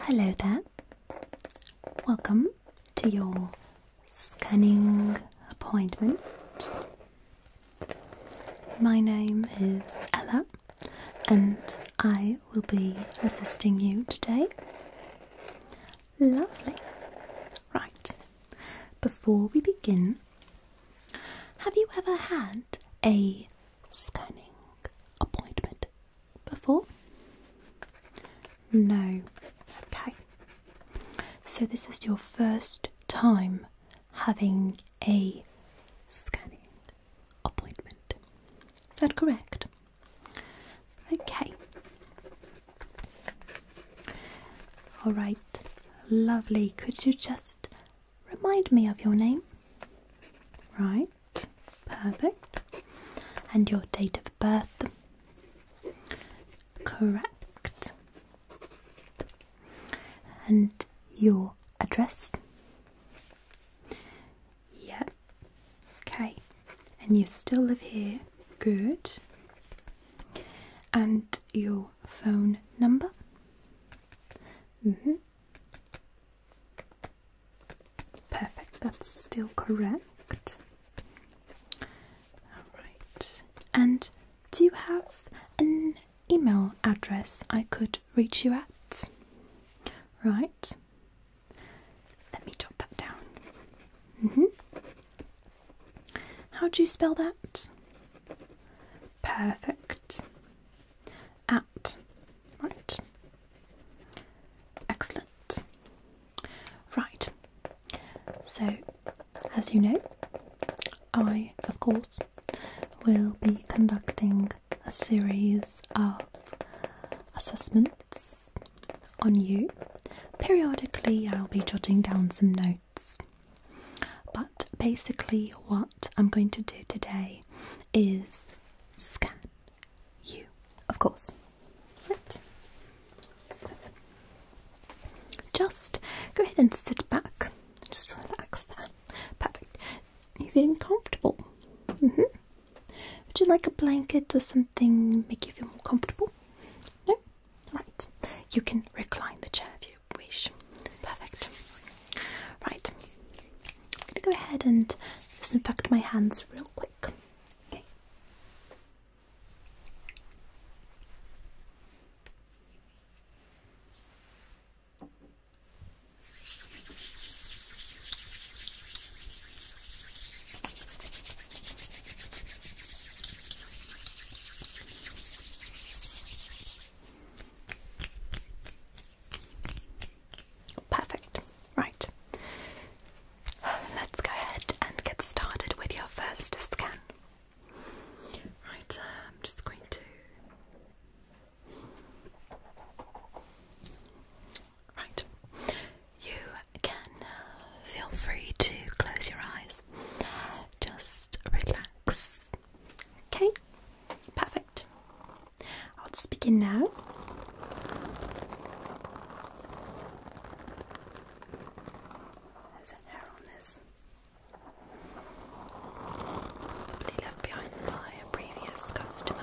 Hello there. Welcome to your scanning appointment. My name is Ella and I will be assisting you today. Lovely. Right. Before we begin, have you ever had a scanning appointment before? No. Okay. So, this is your first time having a scanning appointment. Is that correct? Okay. All right. Lovely. Could you just Remind me of your name. Right, perfect. And your date of birth. Correct. And your address. Yep. Okay. And you still live here. Good. And your phone number. Mm-hmm. Perfect, that's still correct. Alright, and do you have an email address I could reach you at? Right, let me jot that down. Mm-hmm. How do you spell that? Perfect. At. Right. Excellent. Right. So, as you know, I, of course, will be conducting a series of assessments on you. Periodically, I'll be jotting down some notes but basically, what I'm going to do today is scan you, of course. Right. just go ahead and sit back, just relax there. Perfect. Are you feeling comfortable? -hmm. Would you like a blanket or something make you feel more comfortable? No? Right. You can recline the chair if you wish. Perfect. Right. I'm gonna go ahead and disinfect my hands real quick. Perfect. Right. Let's go ahead and get started with your first scan. Right, I'm just going to. Right. You can uh, feel free to close your eyes. Just relax Okay, perfect. I'll just begin now. There's an hair on this. Probably left behind by a previous customer,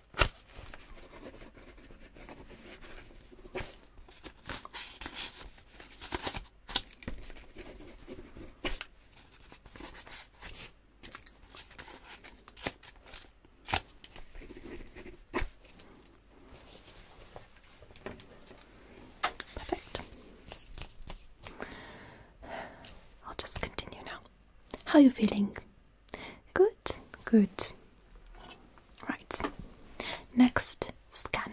Perfect. I'll just continue now. How are you feeling? Good, good. Right. Next, scan.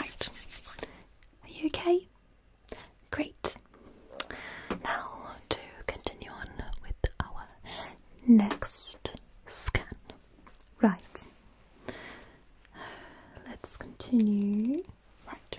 Right. Are you okay? Great. Now to continue on with our next scan. Right. Let's continue. Right.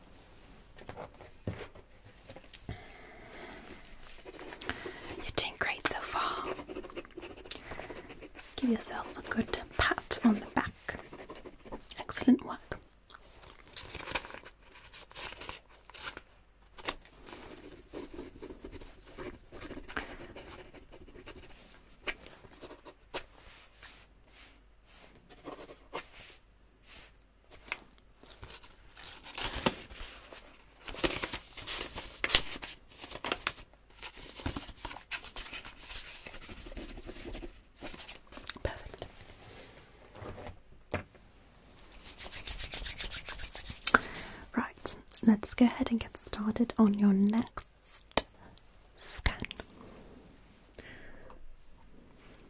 You're doing great so far. Give yourself a good pat on the back. Excellent work. Right, let's go ahead and get started on your next scan.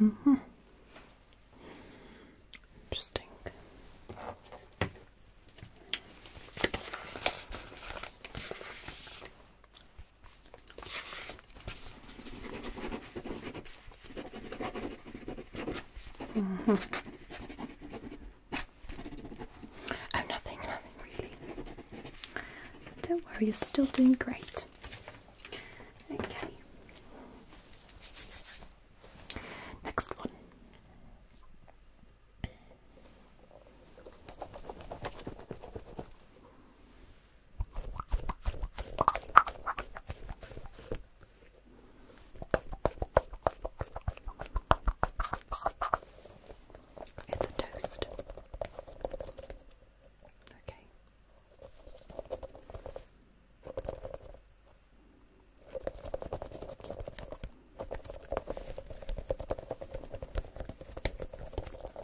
Mm -hmm. Interesting. Oh, mm-hmm. nothing, nothing really. Don't worry, you're still doing great. Okay. Next one. It's a toast. Okay.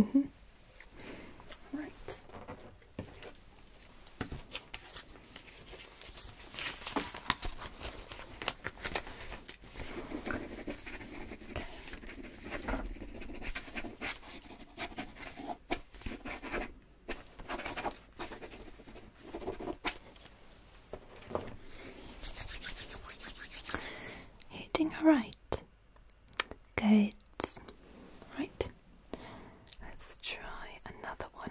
Mm -hmm. Right. Hitting right. Good. Right, let's try another one.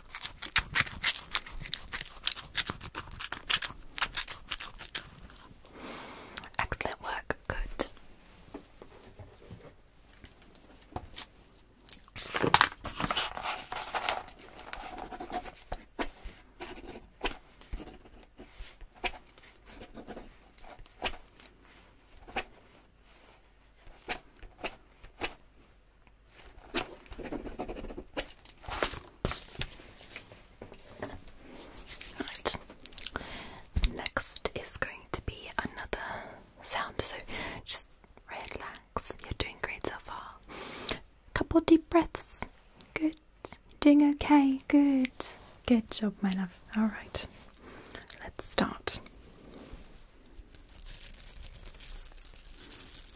Excellent work, good. Next is going to be another sound, so just relax. You're doing great so far. Couple deep breaths. Good. doing okay. Good. Good job, my love. All right. Let's start.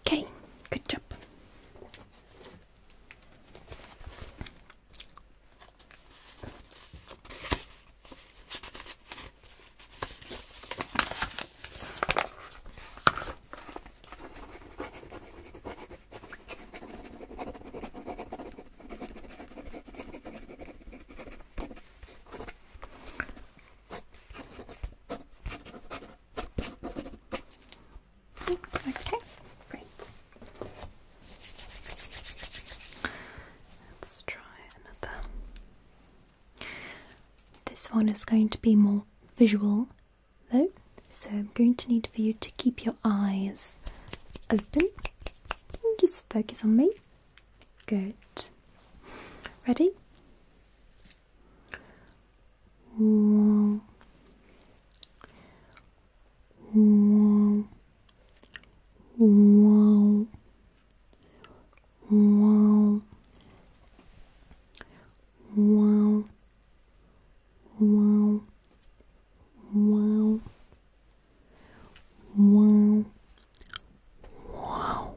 Okay, good job. Okay, great. Let's try another. This one is going to be more visual though, so I'm going to need for you to keep your eyes open and just focus on me. Good. Ready? Whoa. Whoa. Whoa. Wow. Wow. Wow. Wow. Wow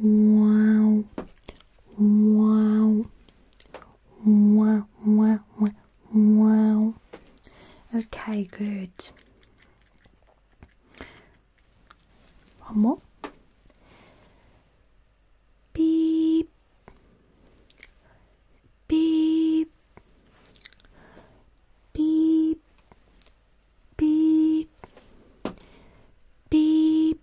Wow. Wow. Wow. Wow. Wow. Okay, good. One more. Beep. Beep. Beep. Beep. Beep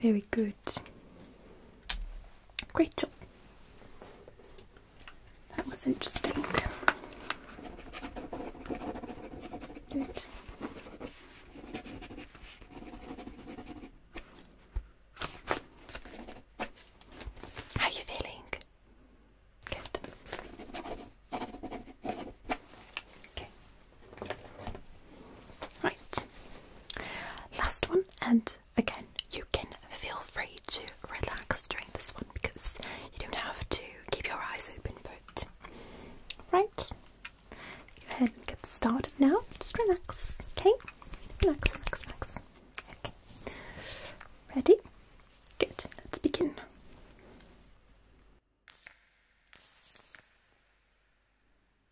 Very good. Great job. That was interesting. Good. How are you feeling? Good. Okay. Right. Last one, and again, you can feel free to relax during this one because you don't have to keep your eyes open, but. Right. Go ahead and get started now. Just relax, okay? Relax, relax, relax. Okay. Ready? Good. Let's begin.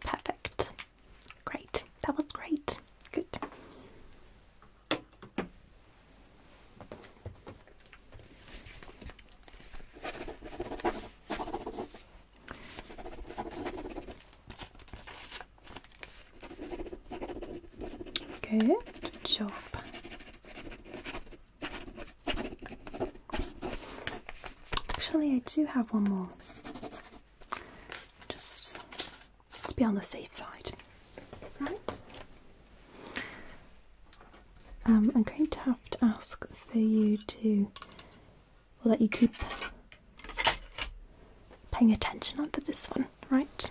Perfect. Great. That was great. Good. Good job. Actually, I do have one more. Just to be on the safe side. Right? Um, I'm going to have to ask for you to I'll let you keep paying attention on for this one, right?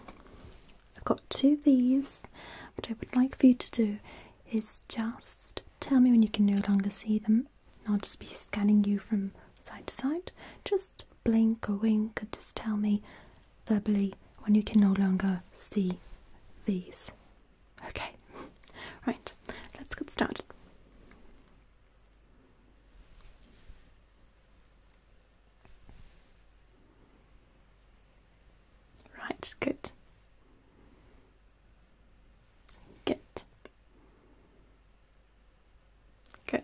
I've got two these. What I would like for you to do is just tell me when you can no longer see them. I'll just be scanning you from side to side. Just blink or wink and just tell me verbally when you can no longer see these. Okay, right, let's get started. Right, good. Good. Good.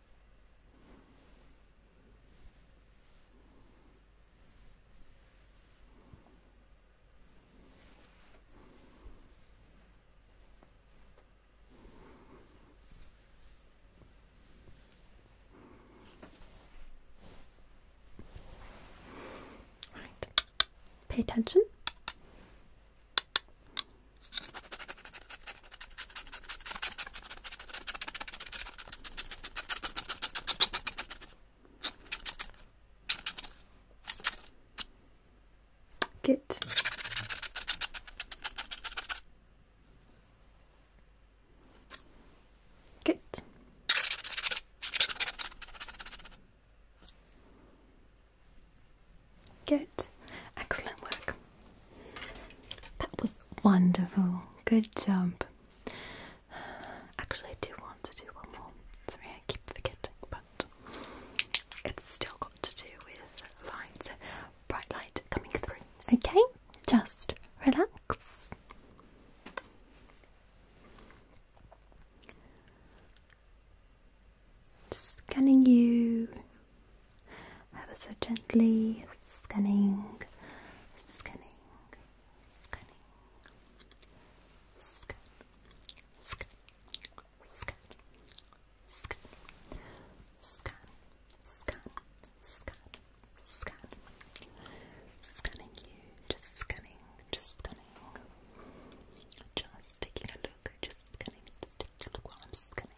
Pay attention. Get. Get. Get. Excellent work. That was wonderful. Good job. Actually, I do want to do one more. Sorry, I keep forgetting, but it's still got to do with lights, bright light coming through. Okay, just relax. Just scanning you i ever so gently scanning, scanning, scanning, scanning you, just scanning, just scanning, just taking a look, just scanning, taking a look while I'm scanning.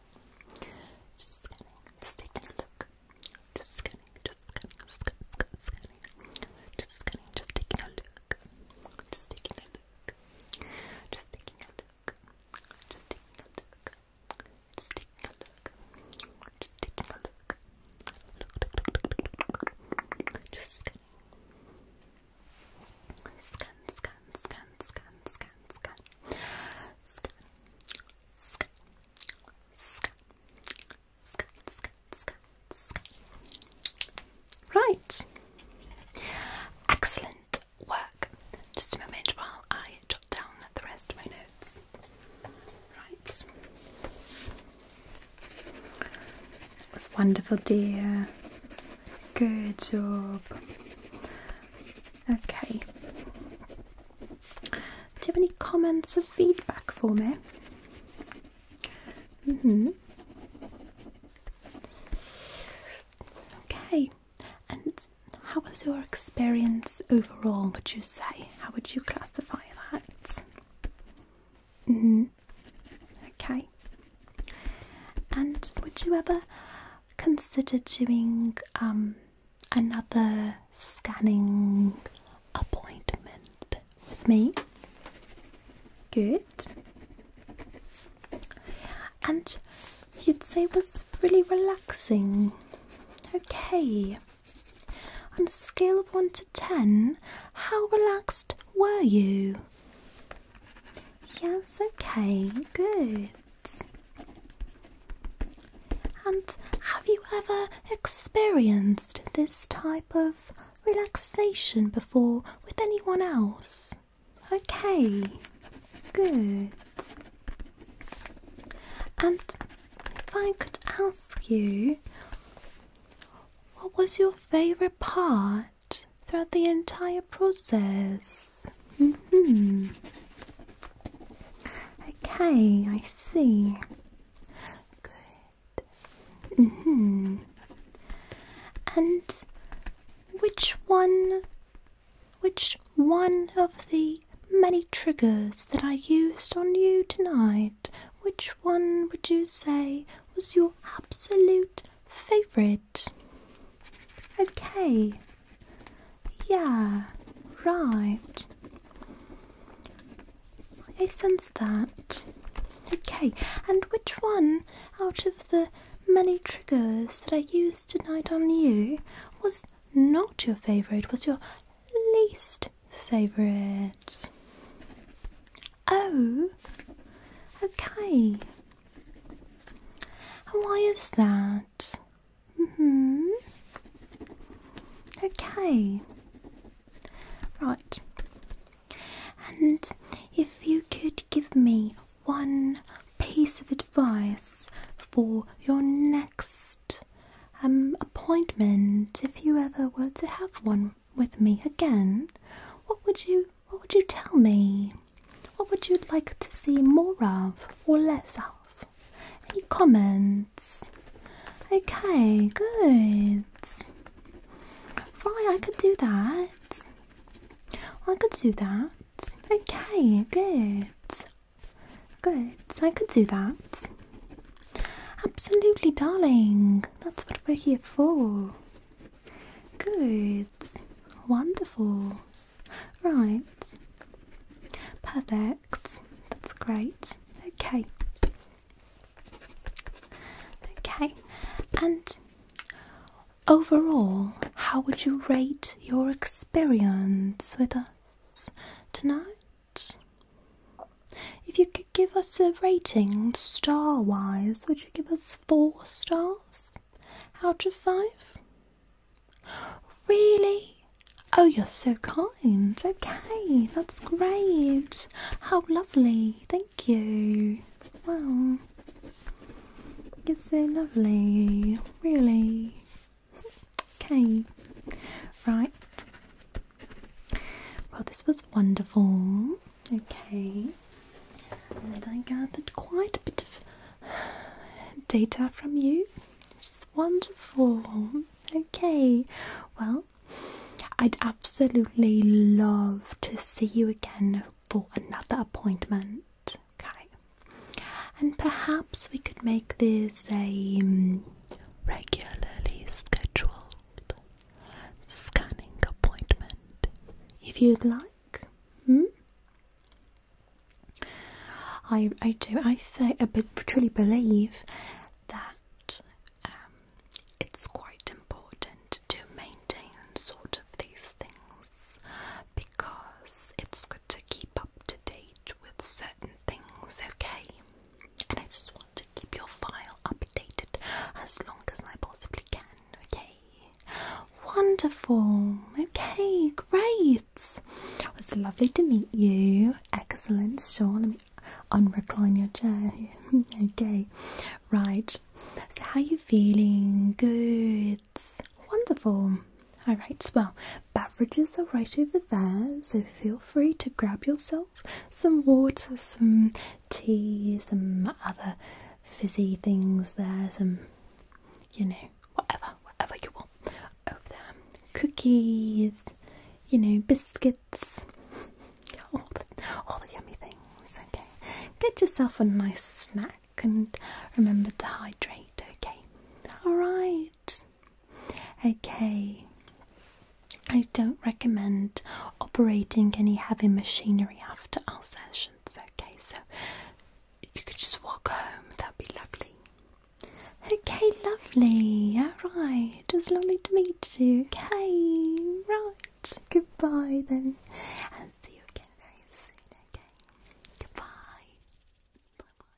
scanning. Just scanning. Just taking a look. Just scanning. Just scanning. Sc sc scanning. Just scanning. Just taking a look. Just taking a look. Just taking a look. Just taking a look. Just taking a look. Just taking a look. Look, look, look, look, look, look. Just scanning. Scan, scan, scan, scan, scan, scan. Scan, Right. Excellent work. Just a moment while I jot down the rest of my notes. Right. That's wonderful, dear. Good job. Okay. Do you have any comments or feedback for me? hmm. Okay, and how was your experience overall? Would you say? How would you classify that? hmm. Okay. And would you ever consider doing um, another scanning appointment with me. Good. And you'd say was really relaxing. Okay. On a scale of 1 to 10, how relaxed were you? Yes, okay, good. And have you ever experienced this type of relaxation before with anyone else? Okay, good. And if I could ask you, what was your favourite part throughout the entire process? hmm. Okay, I see. Good. hmm. And which one? Which one of the many triggers that I used on you tonight? Which one would you say was your absolute favourite? Okay, yeah, right. I sense that. Okay, and which one out of the many triggers that I used tonight on you was not your favourite, was your least favourite? Oh, okay. And why is that? that. Mhm. okay. Right. And if you could give me one piece of advice for your next um, appointment, if you ever were to have one with me again, what would you what would you tell me? What would you like to see more of or less of? Any comments? Okay, good. Right, I could do that. I could do that. Okay, good. Good, I could do that. Absolutely, darling. That's what we're here for. Good. Wonderful. Right. Perfect. That's great. Okay. Okay. And overall, how would you rate your experience with us tonight? If you could give us a rating star wise, would you give us four stars out of five? Really? Oh, you're so kind. Okay, that's great. How lovely. Thank you. Wow. You're so lovely. Really? Okay. Right. Well, this was wonderful. Okay. And I gathered quite a bit of data from you, which is wonderful. Okay, well, I'd absolutely love to see you again for another appointment. Okay, and perhaps we could make this a mm, regularly scheduled scanning appointment if you'd like. Hmm? I I do I think I truly believe that um, it's quite important to maintain sort of these things because it's good to keep up to date with certain things. Okay, and I just want to keep your file updated as long as I possibly can. Okay. Wonderful. Okay, great. It was lovely to meet you. Excellent. Sean. let me un-recline your chair. okay, right. So, how are you feeling? Good. Wonderful. All right. Well, beverages are right over there, so feel free to grab yourself some water, some tea, some other fizzy things there, some you know whatever, whatever you want Cookies, you know, biscuits, all the, all the yummy things, okay? Get yourself a nice snack and remember to hydrate, okay? Alright. Okay. I don't recommend operating any heavy machinery after our sessions, okay? So you could just walk home. That'd be lovely. Okay, lovely. Alright, it was lovely to meet you. Okay, right. Goodbye then. And see you again very soon, okay? Goodbye. Bye bye.